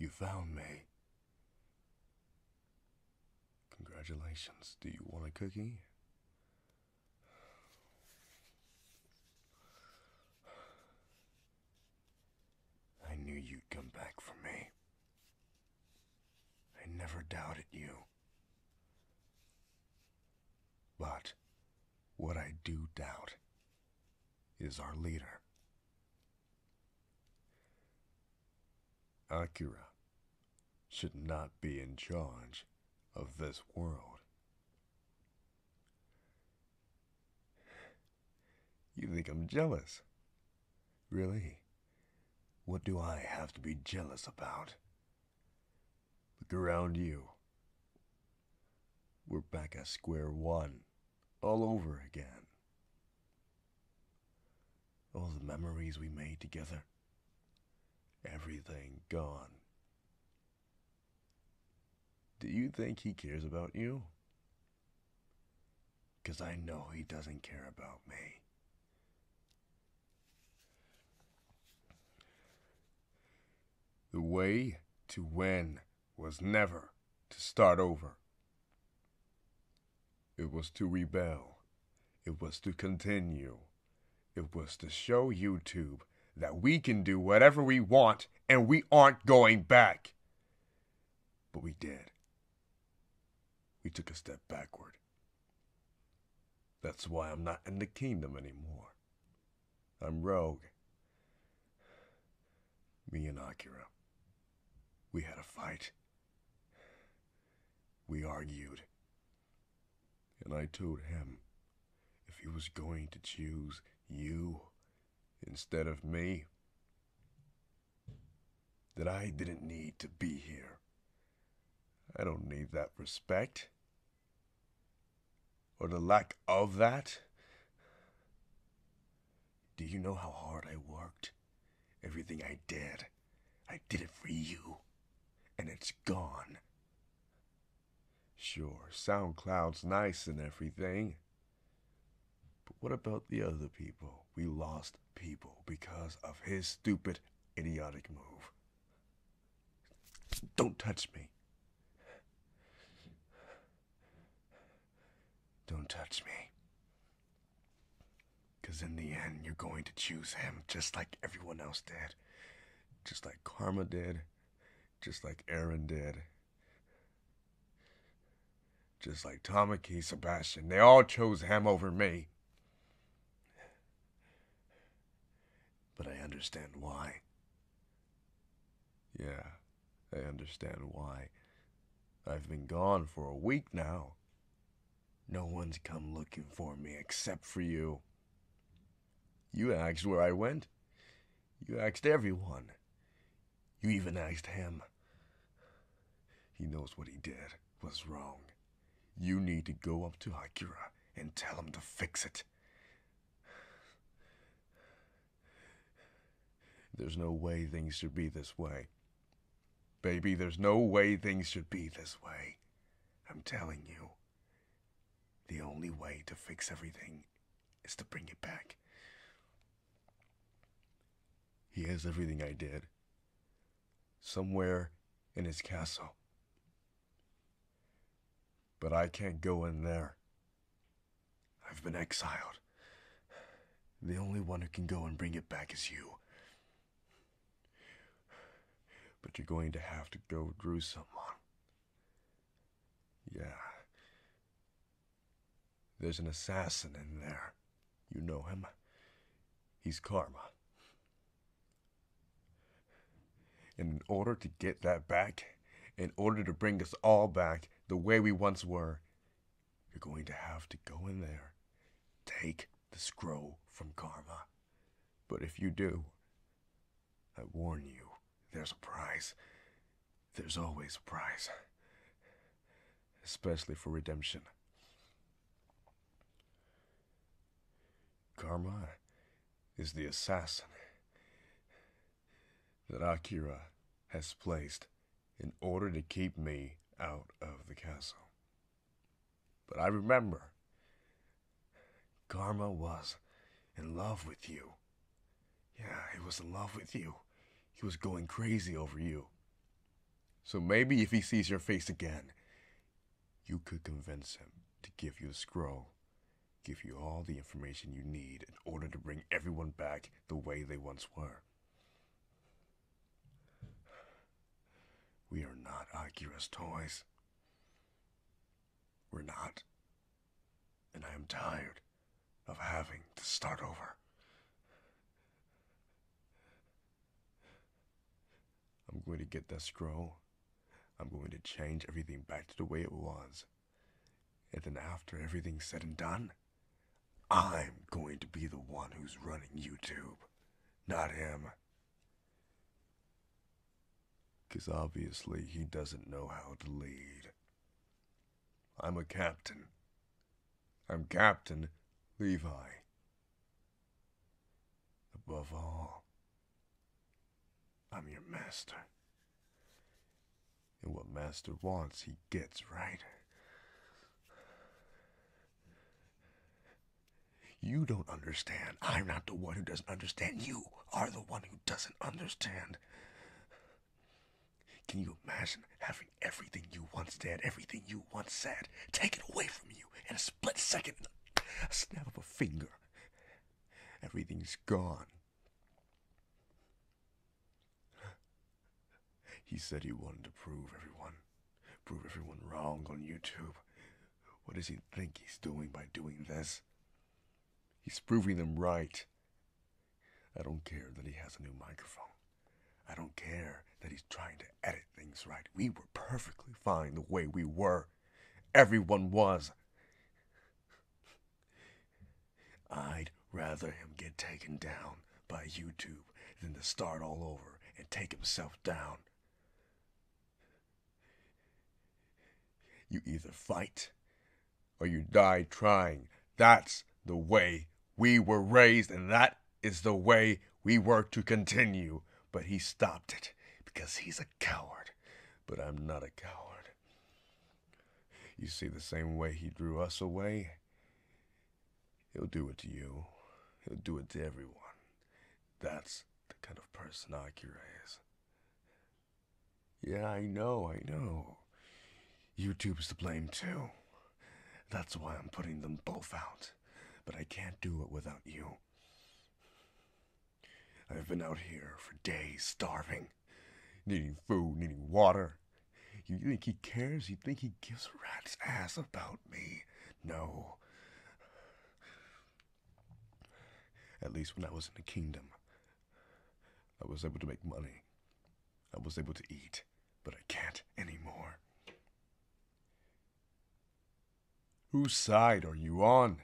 You found me. Congratulations. Do you want a cookie? I knew you'd come back for me. I never doubted you. But what I do doubt is our leader. Akira should not be in charge of this world. You think I'm jealous? Really? What do I have to be jealous about? Look around you. We're back at square one, all over again. All the memories we made together, everything gone. Do you think he cares about you? Because I know he doesn't care about me. The way to win was never to start over. It was to rebel. It was to continue. It was to show YouTube that we can do whatever we want and we aren't going back. But we did. We took a step backward. That's why I'm not in the kingdom anymore. I'm Rogue. Me and Akira. We had a fight. We argued. And I told him if he was going to choose you instead of me, that I didn't need to be here. I don't need that respect. Or the lack of that. Do you know how hard I worked? Everything I did, I did it for you. And it's gone. Sure, SoundCloud's nice and everything. But what about the other people? We lost people because of his stupid, idiotic move. Don't touch me. Don't touch me. Because in the end, you're going to choose him just like everyone else did. Just like Karma did, just like Aaron did, just like Tamaki, Sebastian. They all chose him over me. But I understand why. Yeah, I understand why. I've been gone for a week now. No one's come looking for me except for you. You asked where I went. You asked everyone. You even asked him. He knows what he did was wrong. You need to go up to Akira and tell him to fix it. There's no way things should be this way. Baby, there's no way things should be this way. I'm telling you. The only way to fix everything is to bring it back. He has everything I did. Somewhere in his castle. But I can't go in there. I've been exiled. The only one who can go and bring it back is you. But you're going to have to go through someone. Yeah. There's an assassin in there. You know him. He's Karma. And in order to get that back, in order to bring us all back the way we once were, you're going to have to go in there, take this scroll from karma. But if you do, I warn you, there's a price. There's always a price, Especially for redemption. Karma is the assassin that Akira has placed in order to keep me out of the castle. But I remember, Karma was in love with you. Yeah, he was in love with you. He was going crazy over you. So maybe if he sees your face again, you could convince him to give you the scroll, give you all the information you need in order to bring everyone back the way they once were. We are not Akira's toys. We're not. And I am tired of having to start over. I'm going to get that scroll. I'm going to change everything back to the way it was. And then after everything's said and done, I'm going to be the one who's running YouTube, not him. 'Cause obviously he doesn't know how to lead. I'm a captain. I'm Captain Levi. Above all, I'm your master. And what Master wants, he gets, right? You don't understand. I'm not the one who doesn't understand. You are the one who doesn't understand. Can you imagine having everything you once did, everything you once said, taken away from you in a split second, a snap of a finger? Everything's gone. he said he wanted to prove everyone, prove everyone wrong on YouTube. What does he think he's doing by doing this? He's proving them right. I don't care that he has a new microphone. I don't care that he's trying to edit things right. We were perfectly fine the way we were. Everyone was. I'd rather him get taken down by YouTube than to start all over and take himself down. You either fight or you die trying. That's the way we were raised, and that is the way we were to continue. But he stopped it because he's a coward. But I'm not a coward. You see, the same way he drew us away, he'll do it to you, he'll do it to everyone. That's the kind of person Akira is. Yeah, I know, I know. YouTube's to blame too. That's why I'm putting them both out. But I can't do it without you. I've been out here for days, starving, needing food, needing water. You think he cares? You think he gives a rat's ass about me? No. At least when I was in the kingdom, I was able to make money. I was able to eat, but I can't anymore. Whose side are you on?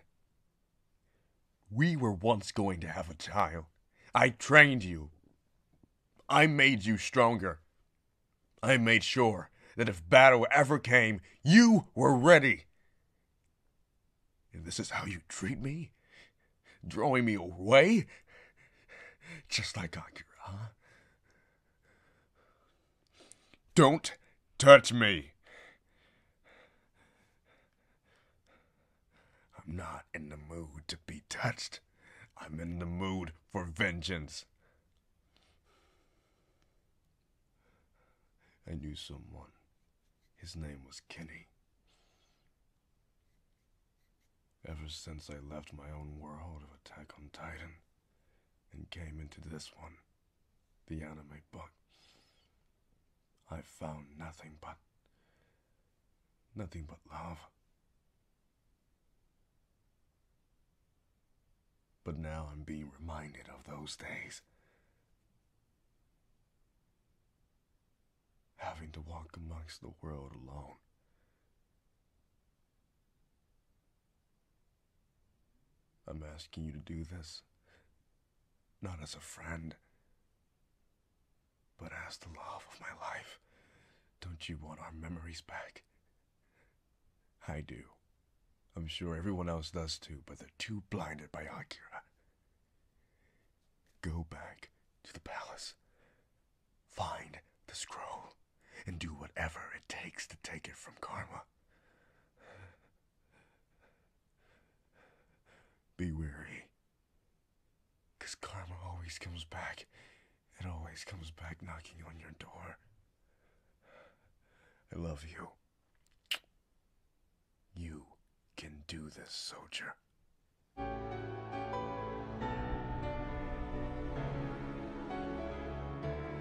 We were once going to have a child. I trained you. I made you stronger. I made sure that if battle ever came, you were ready. And this is how you treat me? Drawing me away? Just like Akira, Don't touch me. I'm not in the mood to be touched. I'm in the mood for vengeance. I knew someone. His name was Kenny. Ever since I left my own world of Attack on Titan and came into this one, the anime book. I found nothing but nothing but love. But now I'm being reminded of those days. Having to walk amongst the world alone. I'm asking you to do this, not as a friend, but as the love of my life. Don't you want our memories back? I do. I'm sure everyone else does too, but they're too blinded by Akira. Go back to the palace. Find the scroll and do whatever it takes to take it from Karma. Be wary. Because karma always comes back. It always comes back knocking on your door. I love you. You can do this, soldier.